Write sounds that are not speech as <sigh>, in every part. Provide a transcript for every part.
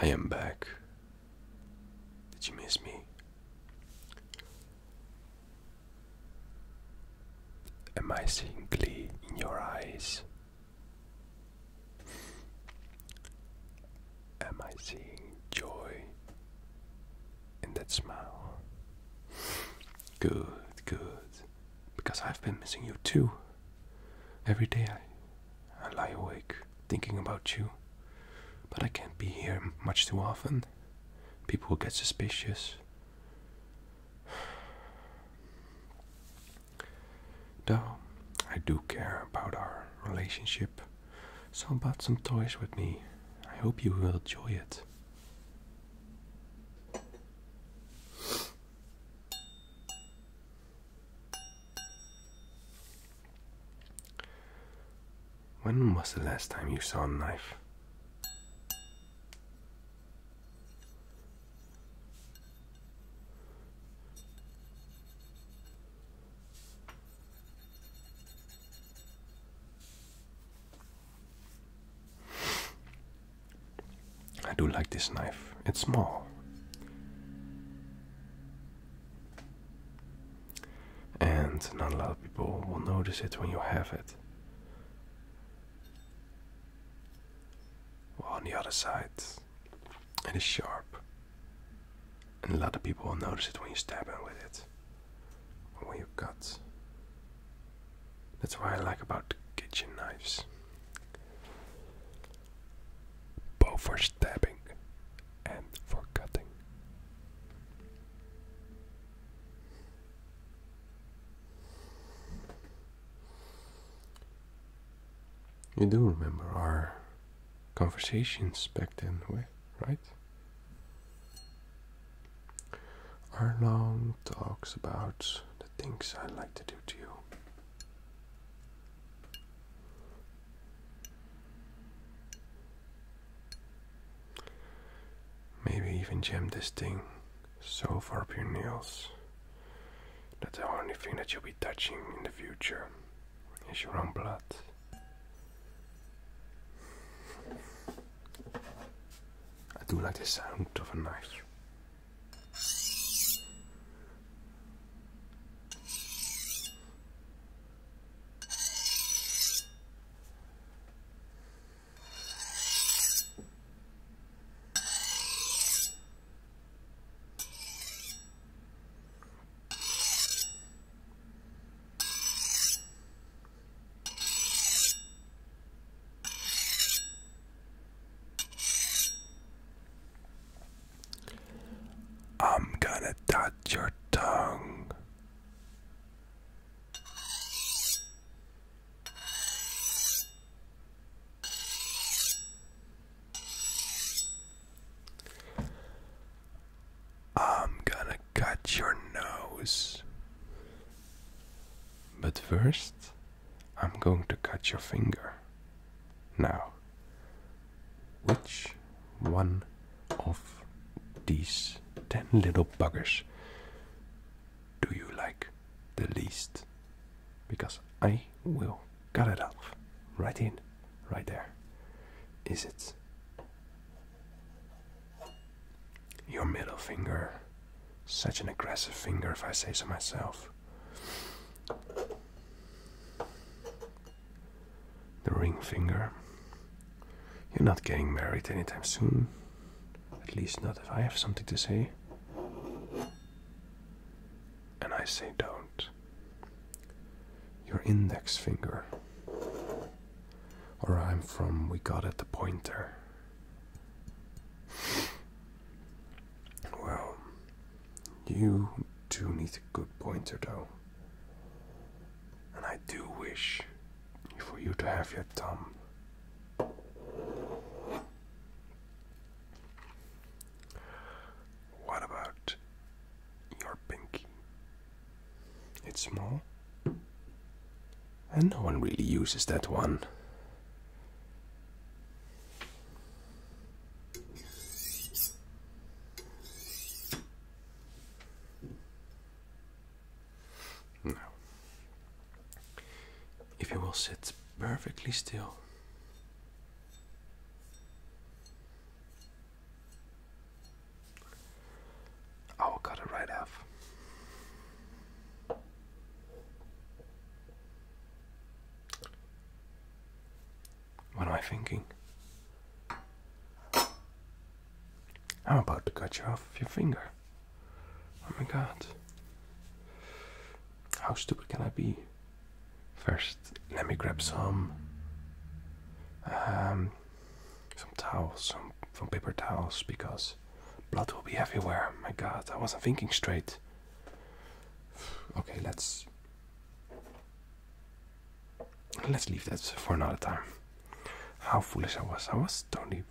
I am back. Did you miss me? Am I seeing glee in your eyes? Am I seeing joy and that smile. Good, good. Because I've been missing you too. Every day I, lie awake thinking about you. But I can't be here much too often. People will get suspicious. Though I do care about our relationship, so I bought some toys with me. I hope you will enjoy it. When was the last time you saw a knife? I do like this knife. It's small. And not a lot of people will notice it when you have it. on the other side, it is sharp. And a lot of people will notice it when you stab them with it we've got. That's what I like about kitchen knives. Both for stabbing and for cutting. You do remember our conversations back then, right? Arlong talks about the things I like to do to you. Maybe even jam this thing so far up your nails that the only thing that you'll be touching in the future is your own blood. I do like the sound of a knife. I'm gonna touch your tongue. I'm gonna cut your nose. But first, I'm going to cut your finger. Now, which one of these ten little buggers do you like the least? Because I will cut it off. Right in, right there. Is it your middle finger. Such an aggressive finger, if I say so myself. The ring finger. You're not getting married anytime soon. At least not if I have something to say. And I say don't. Your index finger. Or I'm from We Got At The Pointer. Well, you do need a good pointer though. And I do wish for you to have your thumb. What about your pinky? It's small. And no one really uses that one. No. If you will sit perfectly still. Oh, I will cut it right off. What am I thinking? I'm about to cut you off your finger. Oh my god. How stupid can I be? First, let me grab some um, some towels, some paper towels, because blood will be everywhere. My God, I wasn't thinking straight. Okay, let's let's leave that for another time. How foolish I was! I was totally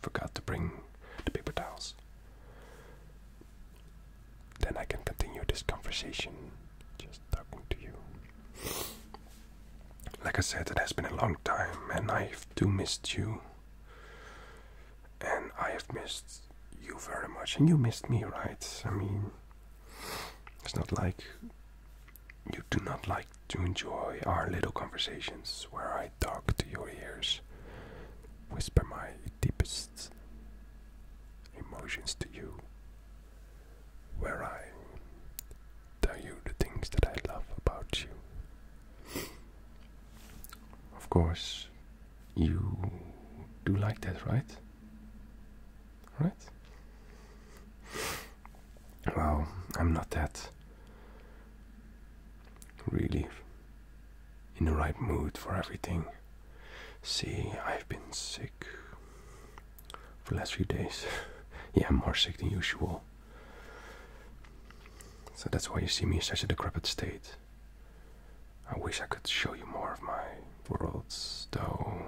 forgot to bring the paper towels. Then I can continue this conversation just talking to you. Like I said, it has been a long time, and I have too missed you. And I have missed you very much, and you missed me, right? I mean, it's not like you do not like to enjoy our little conversations where I talk to your ears, whisper my deepest emotions to you, where I tell you the things that I love about you. of course, you do like that, right? Right? Well, I'm not that really in the right mood for everything. See, I've been sick for the last few days. <laughs> yeah, I'm more sick than usual. So that's why you see me in such a decrepit state. I wish I could show you more of my worlds, though.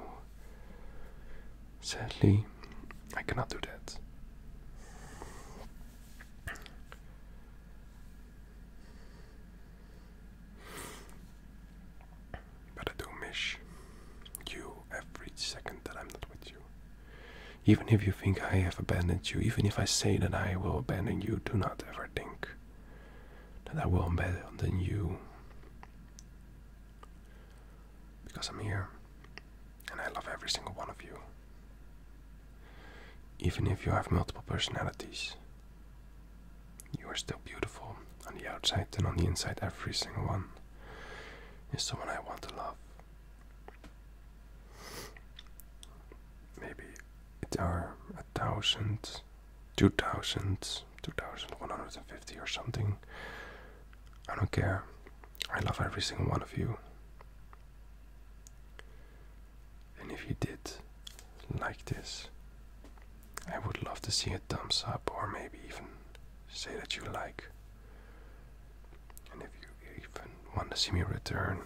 Sadly, I cannot do that. But I do miss you every second that I'm not with you. Even if you think I have abandoned you, even if I say that I will abandon you, do not ever think that I will abandon you. Because I'm here and I love every single one of you. Even if you have multiple personalities, you are still beautiful on the outside and on the inside, every single one is someone I want to love. Maybe it are a thousand, two thousand, two thousand one hundred and fifty or something. I don't care. I love every single one of you. And if you did like this, I would love to see a thumbs up or maybe even say that you like. And if you even want to see me return,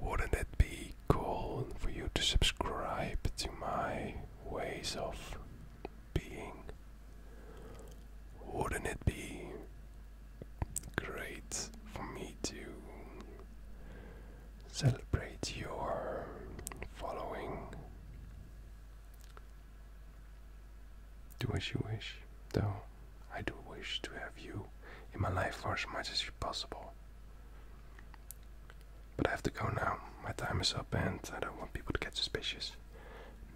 wouldn't it be cool for you to subscribe to my ways of being? Wouldn't it be great for me to celebrate your following. Do as you wish, though I do wish to have you in my life for as much as possible. But I have to go now. My time is up and I don't want people to get suspicious.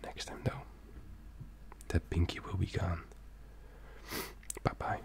Next time, though, that pinky will be gone. bye bye.